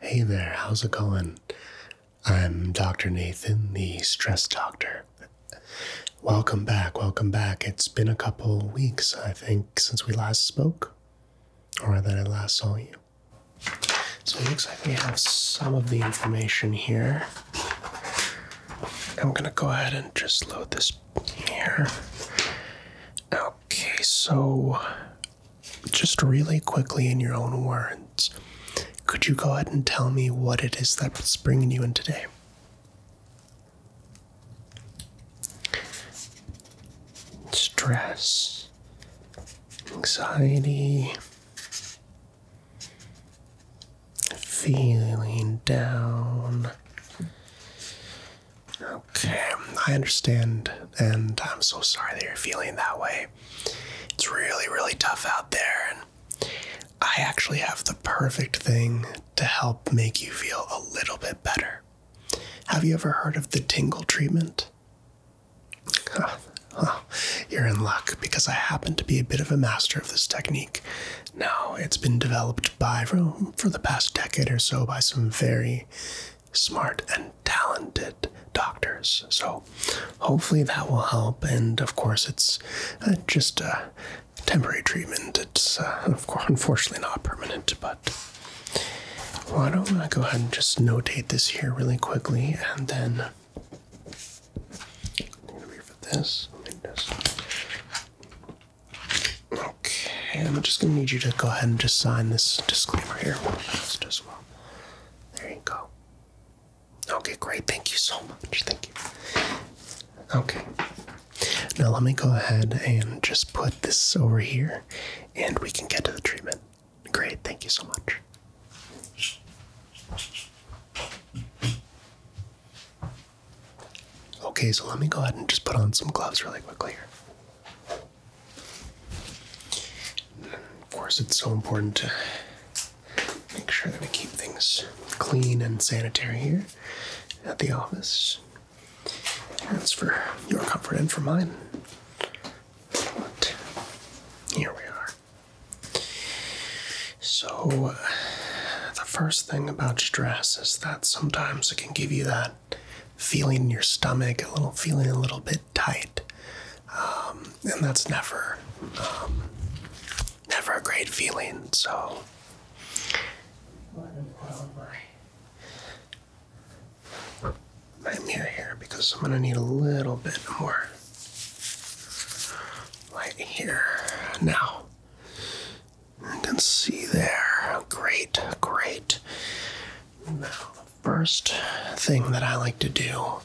Hey there, how's it going? I'm Dr. Nathan, the stress doctor. Welcome back, welcome back. It's been a couple weeks, I think, since we last spoke, or that I last saw you. So it looks like we have some of the information here. I'm gonna go ahead and just load this here. Okay, so just really quickly in your own words, could you go ahead and tell me what it is that's bringing you in today? Stress, anxiety, feeling down, Okay, I understand, and I'm so sorry that you're feeling that way. It's really, really tough out there, and I actually have the perfect thing to help make you feel a little bit better. Have you ever heard of the tingle treatment? you're in luck because I happen to be a bit of a master of this technique. Now, it's been developed by room for the past decade or so by some very smart and talented doctors. So, hopefully, that will help. And of course, it's uh, just a temporary treatment. It's uh, unfortunately not permanent, but. Well, I don't want to go ahead and just notate this here really quickly, and then I'm for this. Okay, I'm just gonna need you to go ahead and just sign this disclaimer here just as There you go. Okay, great. Thank you so much. Thank you. Okay. Now let me go ahead and just put this over here and we can get to the treatment. Great, thank you so much. Okay, so let me go ahead and just put on some gloves really quickly here. Of course, it's so important to make sure that we keep things clean and sanitary here at the office. That's for your comfort and for mine. But here we are. So, uh, the first thing about stress is that sometimes it can give you that feeling in your stomach, a little feeling a little bit tight, um, and that's never, um, never a great feeling. So. My mirror here because I'm gonna need a little bit more light here now. You can see there. Great, great. Now, first thing that I like to do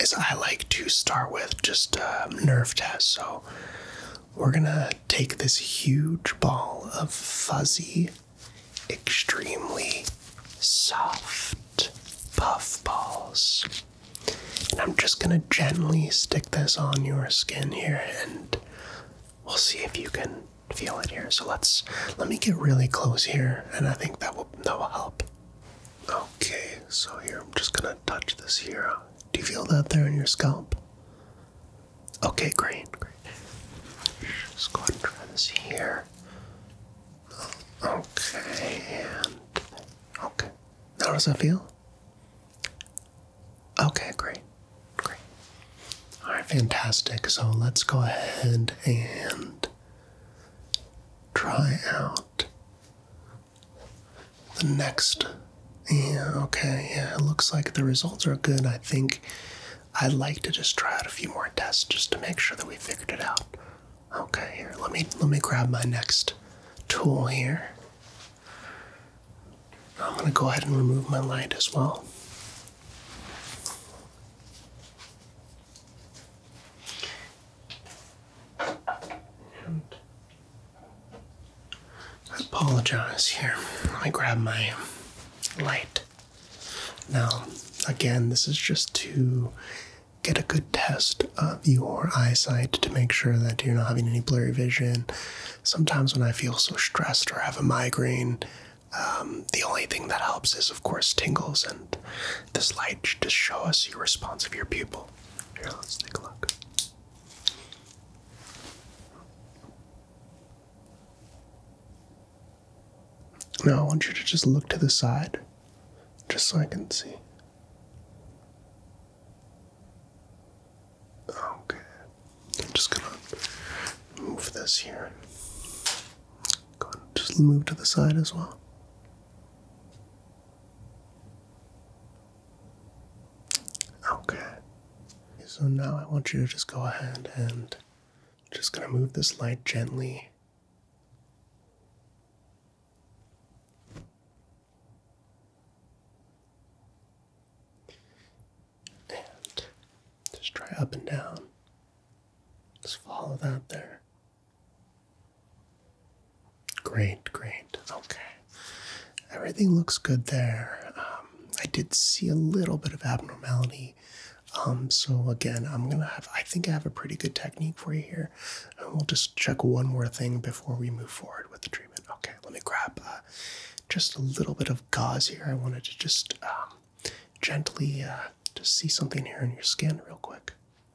is I like to start with just a nerve test. So, we're gonna take this huge ball of fuzzy, extremely soft puff balls. And I'm just gonna gently stick this on your skin here, and we'll see if you can feel it here. So let's let me get really close here, and I think that will that will help. Okay, so here I'm just gonna touch this here. Do you feel that there in your scalp? Okay, great, great. Just go ahead and try this here. Okay, and okay. how does that feel? Okay, great. Great. All right, fantastic. So let's go ahead and try out the next. Yeah, okay, yeah, it looks like the results are good. I think I'd like to just try out a few more tests just to make sure that we figured it out. Okay, here, let me let me grab my next tool here. I'm going to go ahead and remove my light as well. I apologize here. Let me grab my light. Now, again, this is just to get a good test of your eyesight to make sure that you're not having any blurry vision. Sometimes when I feel so stressed or have a migraine, um, the only thing that helps is, of course, tingles, and this light should just show us your response of your pupil. Here, let's take a look. Now, I want you to just look to the side, just so I can see. Okay, I'm just gonna move this here. just move to the side as well. Okay. So now I want you to just go ahead and just gonna move this light gently. And just try up and down. Just follow that there. Great, great. Okay. Everything looks good there. Um, I did see a little bit of abnormality. Um, so again, I'm gonna have I think I have a pretty good technique for you here. And we'll just check one more thing before we move forward with the treatment. Okay, let me grab uh, just a little bit of gauze here. I wanted to just um, gently uh, just see something here in your skin real quick.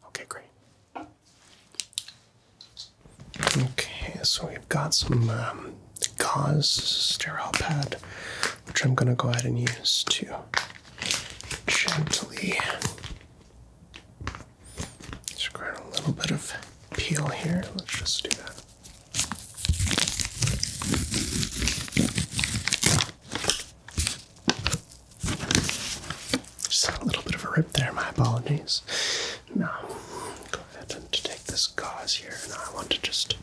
Okay, great. Okay, so we've got some um, gauze sterile pad, which I'm going to go ahead and use to gently just grab a little bit of peel here. Let's just do that. Just a little bit of a rip there, my apologies. Now, go ahead and take this gauze here, and I want to just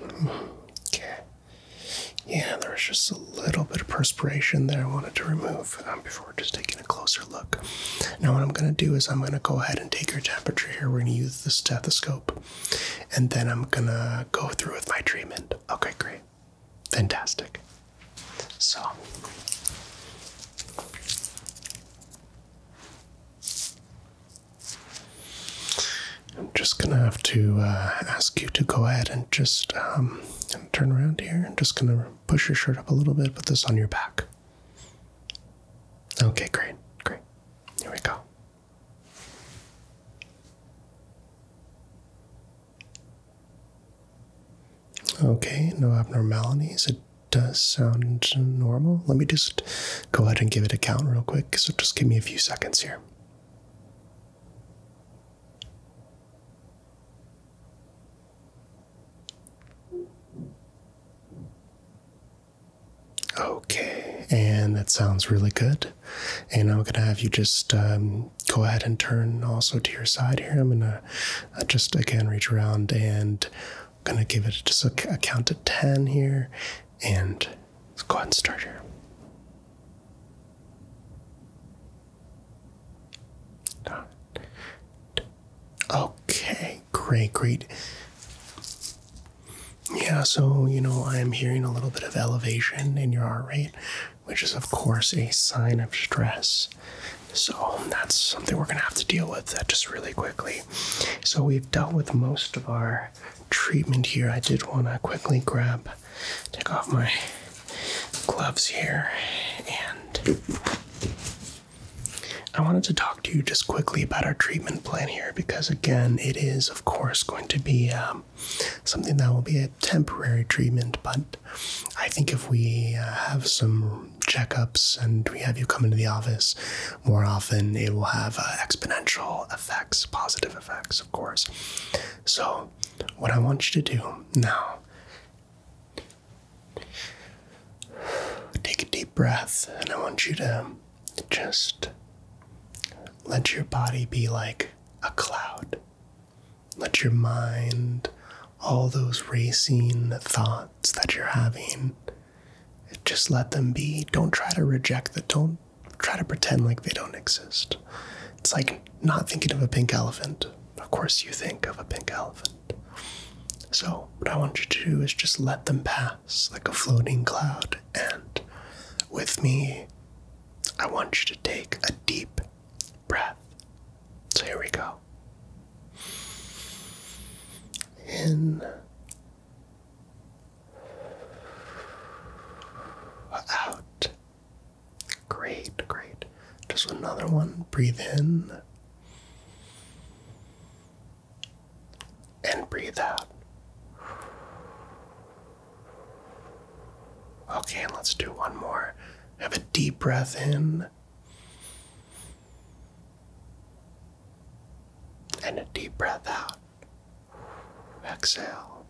Okay. Yeah, there was just a little bit of perspiration there. I wanted to remove um, before just taking a closer look. Now, what I'm going to do is I'm going to go ahead and take your temperature here. We're going to use the stethoscope, and then I'm going to go through with my treatment. Okay, great. Fantastic. So. I'm just gonna have to uh, ask you to go ahead and just um, turn around here. I'm just gonna push your shirt up a little bit, put this on your back. Okay, great, great. Here we go. Okay, no abnormalities. It does sound normal. Let me just go ahead and give it a count real quick. So just give me a few seconds here. Okay, and that sounds really good. And I'm gonna have you just um, go ahead and turn also to your side here. I'm gonna uh, just again reach around and I'm gonna give it just a, a count to ten here, and Let's go ahead and start here. Okay, great, great. Yeah, so, you know, I am hearing a little bit of elevation in your heart rate, which is, of course, a sign of stress. So, that's something we're going to have to deal with uh, just really quickly. So, we've dealt with most of our treatment here, I did want to quickly grab, take off my gloves here, and I wanted to talk to you just quickly about our treatment plan here because, again, it is, of course, going to be um, something that will be a temporary treatment, but I think if we uh, have some checkups and we have you come into the office, more often it will have uh, exponential effects, positive effects, of course. So, what I want you to do now, take a deep breath, and I want you to just let your body be like a cloud. Let your mind, all those racing thoughts that you're having, just let them be. Don't try to reject them. Don't try to pretend like they don't exist. It's like not thinking of a pink elephant. Of course, you think of a pink elephant. So, what I want you to do is just let them pass like a floating cloud. And with me, I want you to take a deep breath. So, here we go. In out. Great, great. Just another one. Breathe in. And breathe out. Okay, and let's do one more. Have a deep breath in and a deep breath out. Exhale.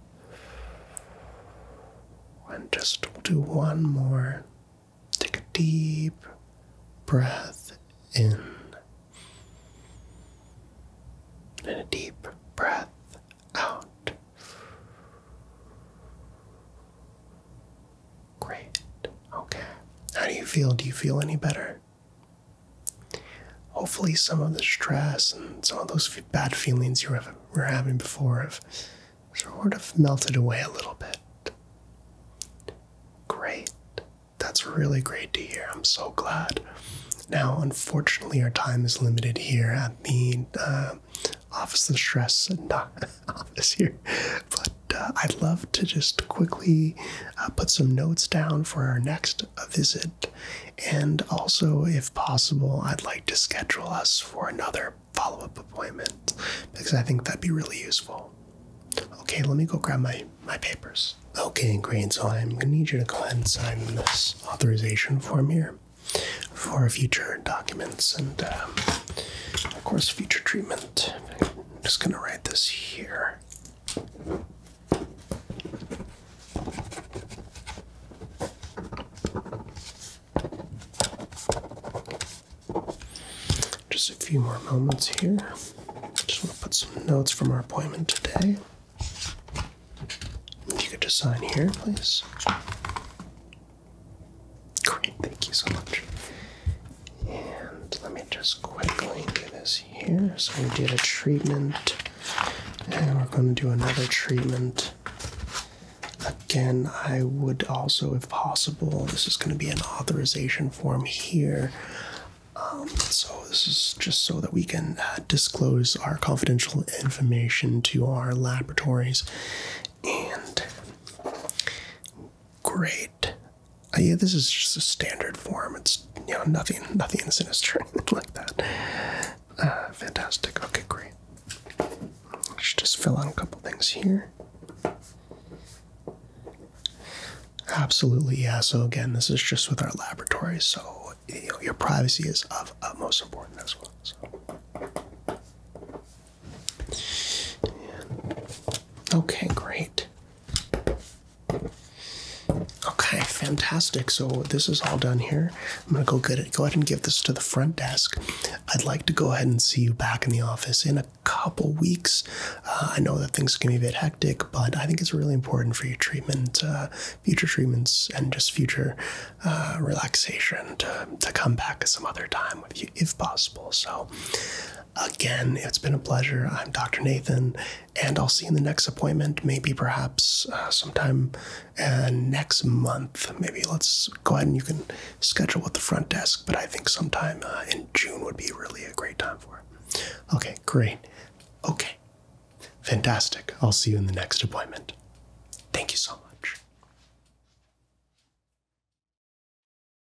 And just do one more. Take a deep breath in and a deep breath out. Great. Okay. How do you feel? Do you feel any better? Hopefully, some of the stress and some of those bad feelings you were having before have sort of melted away a little bit. Great. That's really great to hear. I'm so glad. Now, unfortunately, our time is limited here at the uh, Office of Stress, and office here, but uh, I'd love to just quickly uh, put some notes down for our next visit. And also, if possible, I'd like to schedule us for another follow up appointment because I think that'd be really useful. Okay, let me go grab my, my papers. Okay, great. So I'm going to need you to go and sign this authorization form here for future documents and, um, of course, future treatment. I'm just going to write this here. Just a few more moments here. Just want to put some notes from our appointment today. If you could just sign here, please. Great, thank you so much. And let me just quickly do this here. So we did a treatment, and we're going to do another treatment. Again, I would also, if possible, this is going to be an authorization form here. Um, so this is just so that we can uh, disclose our confidential information to our laboratories and great yeah, this is just a standard form. It's you know nothing, nothing sinister like that. Uh, fantastic. Okay, great. Let's just fill out a couple things here. Absolutely, yeah. So again, this is just with our laboratory, so your privacy is of utmost importance as well. So. okay, great. Okay, fantastic. So this is all done here. I'm gonna go get it. Go ahead and give this to the front desk. I'd like to go ahead and see you back in the office in a couple weeks. Uh, I know that things can be a bit hectic, but I think it's really important for your treatment, uh, future treatments, and just future uh, relaxation to to come back some other time with you if possible. So Again, it's been a pleasure. I'm Dr. Nathan, and I'll see you in the next appointment, maybe perhaps uh, sometime uh, next month. Maybe let's go ahead and you can schedule with the front desk, but I think sometime uh, in June would be really a great time for it. Okay, great. Okay, fantastic. I'll see you in the next appointment. Thank you so much.